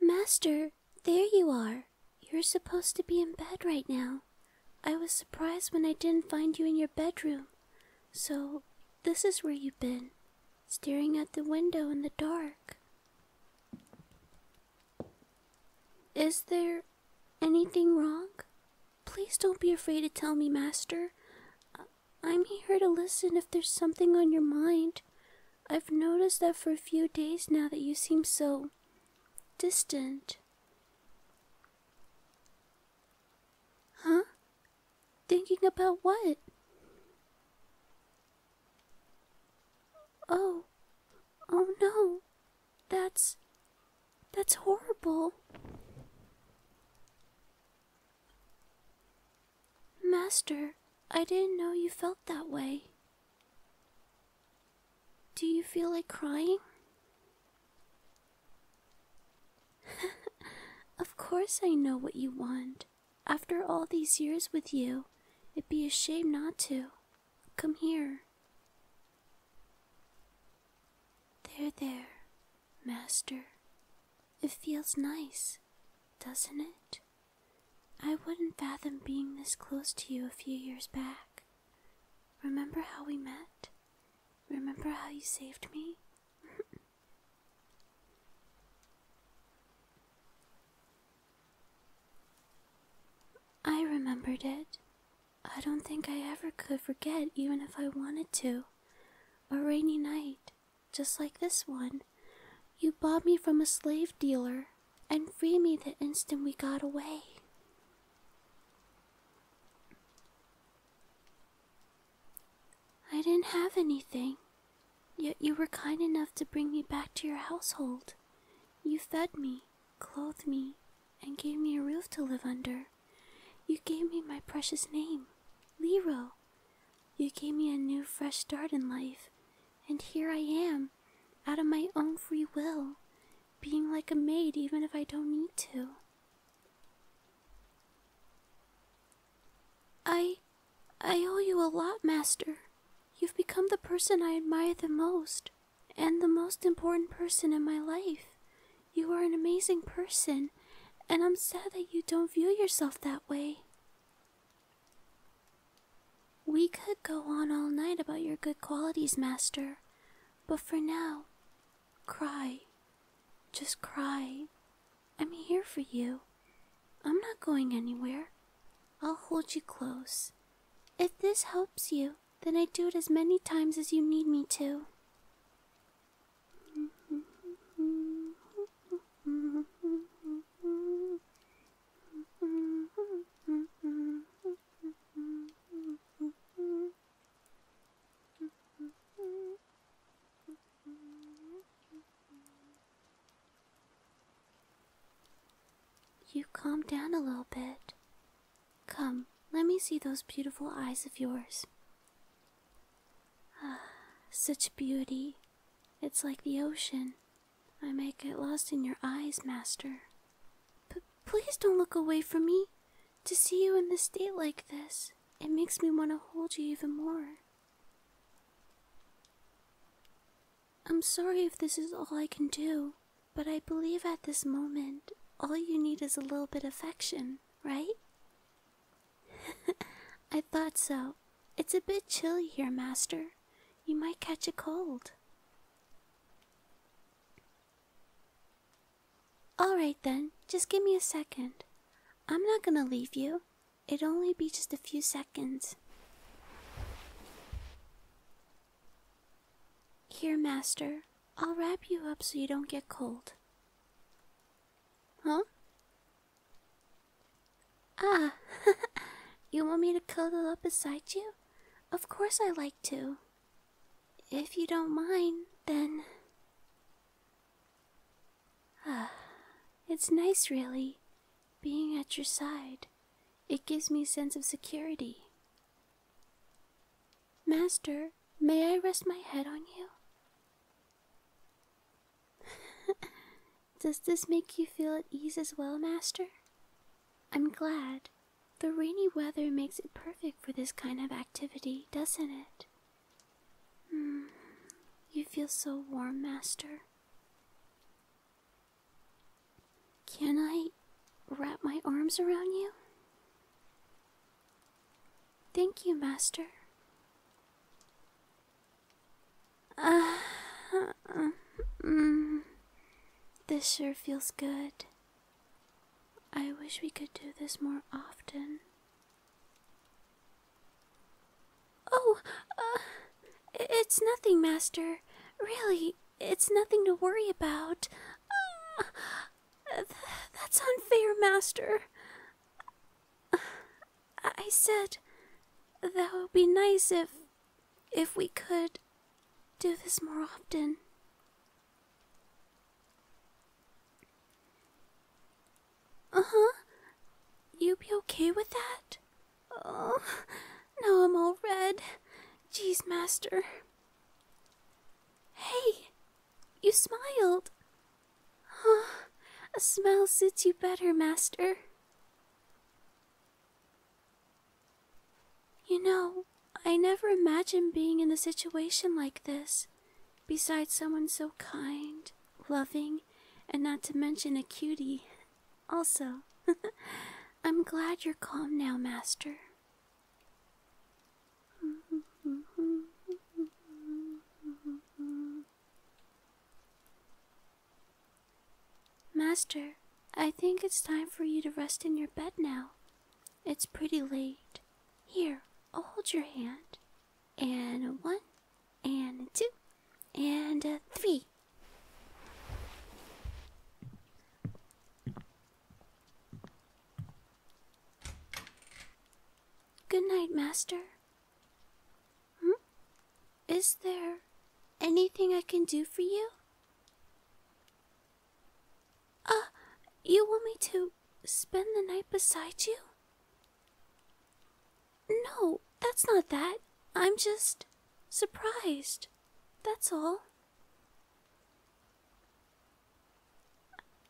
Master, there you are. You're supposed to be in bed right now. I was surprised when I didn't find you in your bedroom. So, this is where you've been, staring out the window in the dark. Is there anything wrong? Please don't be afraid to tell me, Master. I'm here to listen if there's something on your mind. I've noticed that for a few days now that you seem so distant. Huh? Thinking about what? Oh, oh no, that's. that's horrible. Master, I didn't know you felt that way. Do you feel like crying? of course, I know what you want. After all these years with you, it'd be a shame not to. Come here. There, there, Master. It feels nice, doesn't it? I wouldn't fathom being this close to you a few years back. Remember how we met? Remember how you saved me? I remembered it. I don't think I ever could forget, even if I wanted to. A rainy night, just like this one. You bought me from a slave dealer and freed me the instant we got away. I didn't have anything. Yet you were kind enough to bring me back to your household. You fed me, clothed me, and gave me a roof to live under. You gave me my precious name, Lero. You gave me a new, fresh start in life, and here I am, out of my own free will, being like a maid even if I don't need to. I. I owe you a lot, Master. You've become the person I admire the most, and the most important person in my life. You are an amazing person, and I'm sad that you don't view yourself that way. We could go on all night about your good qualities, Master, but for now, cry. Just cry. I'm here for you. I'm not going anywhere. I'll hold you close. If this helps you, then I do it as many times as you need me to. You calm down a little bit. Come, let me see those beautiful eyes of yours. Ah, such beauty. It's like the ocean. I may get lost in your eyes, Master. But please don't look away from me. To see you in this state like this, it makes me want to hold you even more. I'm sorry if this is all I can do, but I believe at this moment all you need is a little bit of affection, right? I thought so. It's a bit chilly here, Master. You might catch a cold. All right then, just give me a second. I'm not gonna leave you it will only be just a few seconds. Here, Master, I'll wrap you up so you don't get cold. Huh? Ah, you want me to cuddle up beside you? Of course I like to. If you don't mind, then. Ah, it's nice, really, being at your side. It gives me a sense of security. Master, may I rest my head on you? Does this make you feel at ease as well, Master? I'm glad. The rainy weather makes it perfect for this kind of activity, doesn't it? Mm, you feel so warm, Master. Can I wrap my arms around you? Thank you, Master. Uh, uh, mm, this sure feels good. I wish we could do this more often. Oh, uh, it's nothing, Master. Really, it's nothing to worry about. Uh, that's unfair, Master. I said that would be nice if. if we could do this more often. Uh huh. You be okay with that? Oh, now I'm all red. Jeez, Master. Hey, you smiled. Huh, a smile suits you better, Master. You know, I never imagined being in a situation like this. Besides, someone so kind, loving, and not to mention a cutie. Also, I'm glad you're calm now, Master. Master, I think it's time for you to rest in your bed now. It's pretty late. Here, I'll hold your hand. And a one, and a two, and a three. Good night, Master. Hmm? Is there anything I can do for you? Uh, you want me to spend the night beside you? No, that's not that. I'm just surprised. That's all.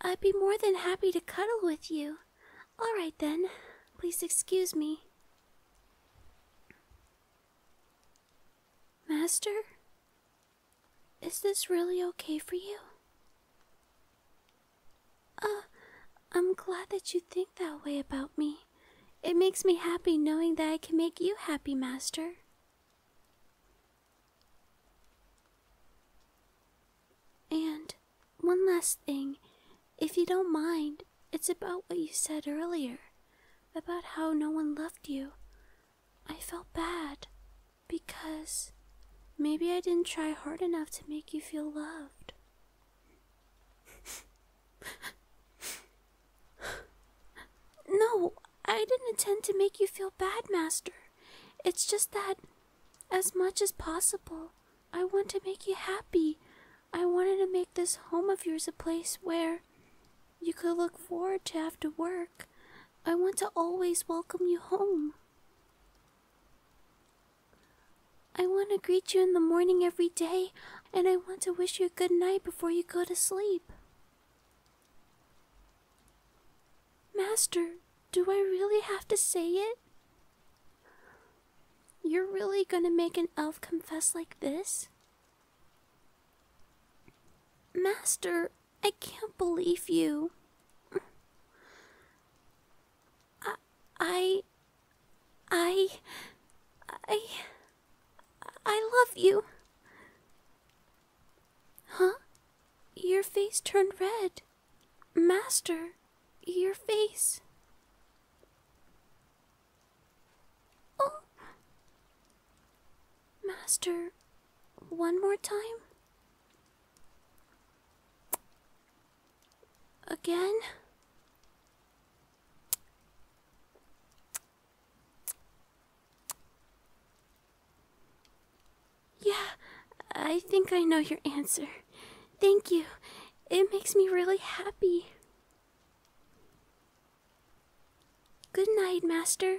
I'd be more than happy to cuddle with you. All right then, please excuse me. Master? Is this really okay for you? Uh, I'm glad that you think that way about me. It makes me happy knowing that I can make you happy, Master. And one last thing, if you don't mind, it's about what you said earlier about how no one loved you. I felt bad because maybe I didn't try hard enough to make you feel loved. no, I didn't intend to make you feel bad, Master. It's just that, as much as possible, I want to make you happy. I wanted to make this home of yours a place where you could look forward to after work. I want to always welcome you home. I want to greet you in the morning every day, and I want to wish you a good night before you go to sleep. Master, do I really have to say it? You're really gonna make an elf confess like this? Master, I can't believe you. I. I. I. I. I love you. Huh? Your face turned red. Master, your face. Oh! Master, one more time? Again? Yeah, I think I know your answer. Thank you. It makes me really happy. Good night, master.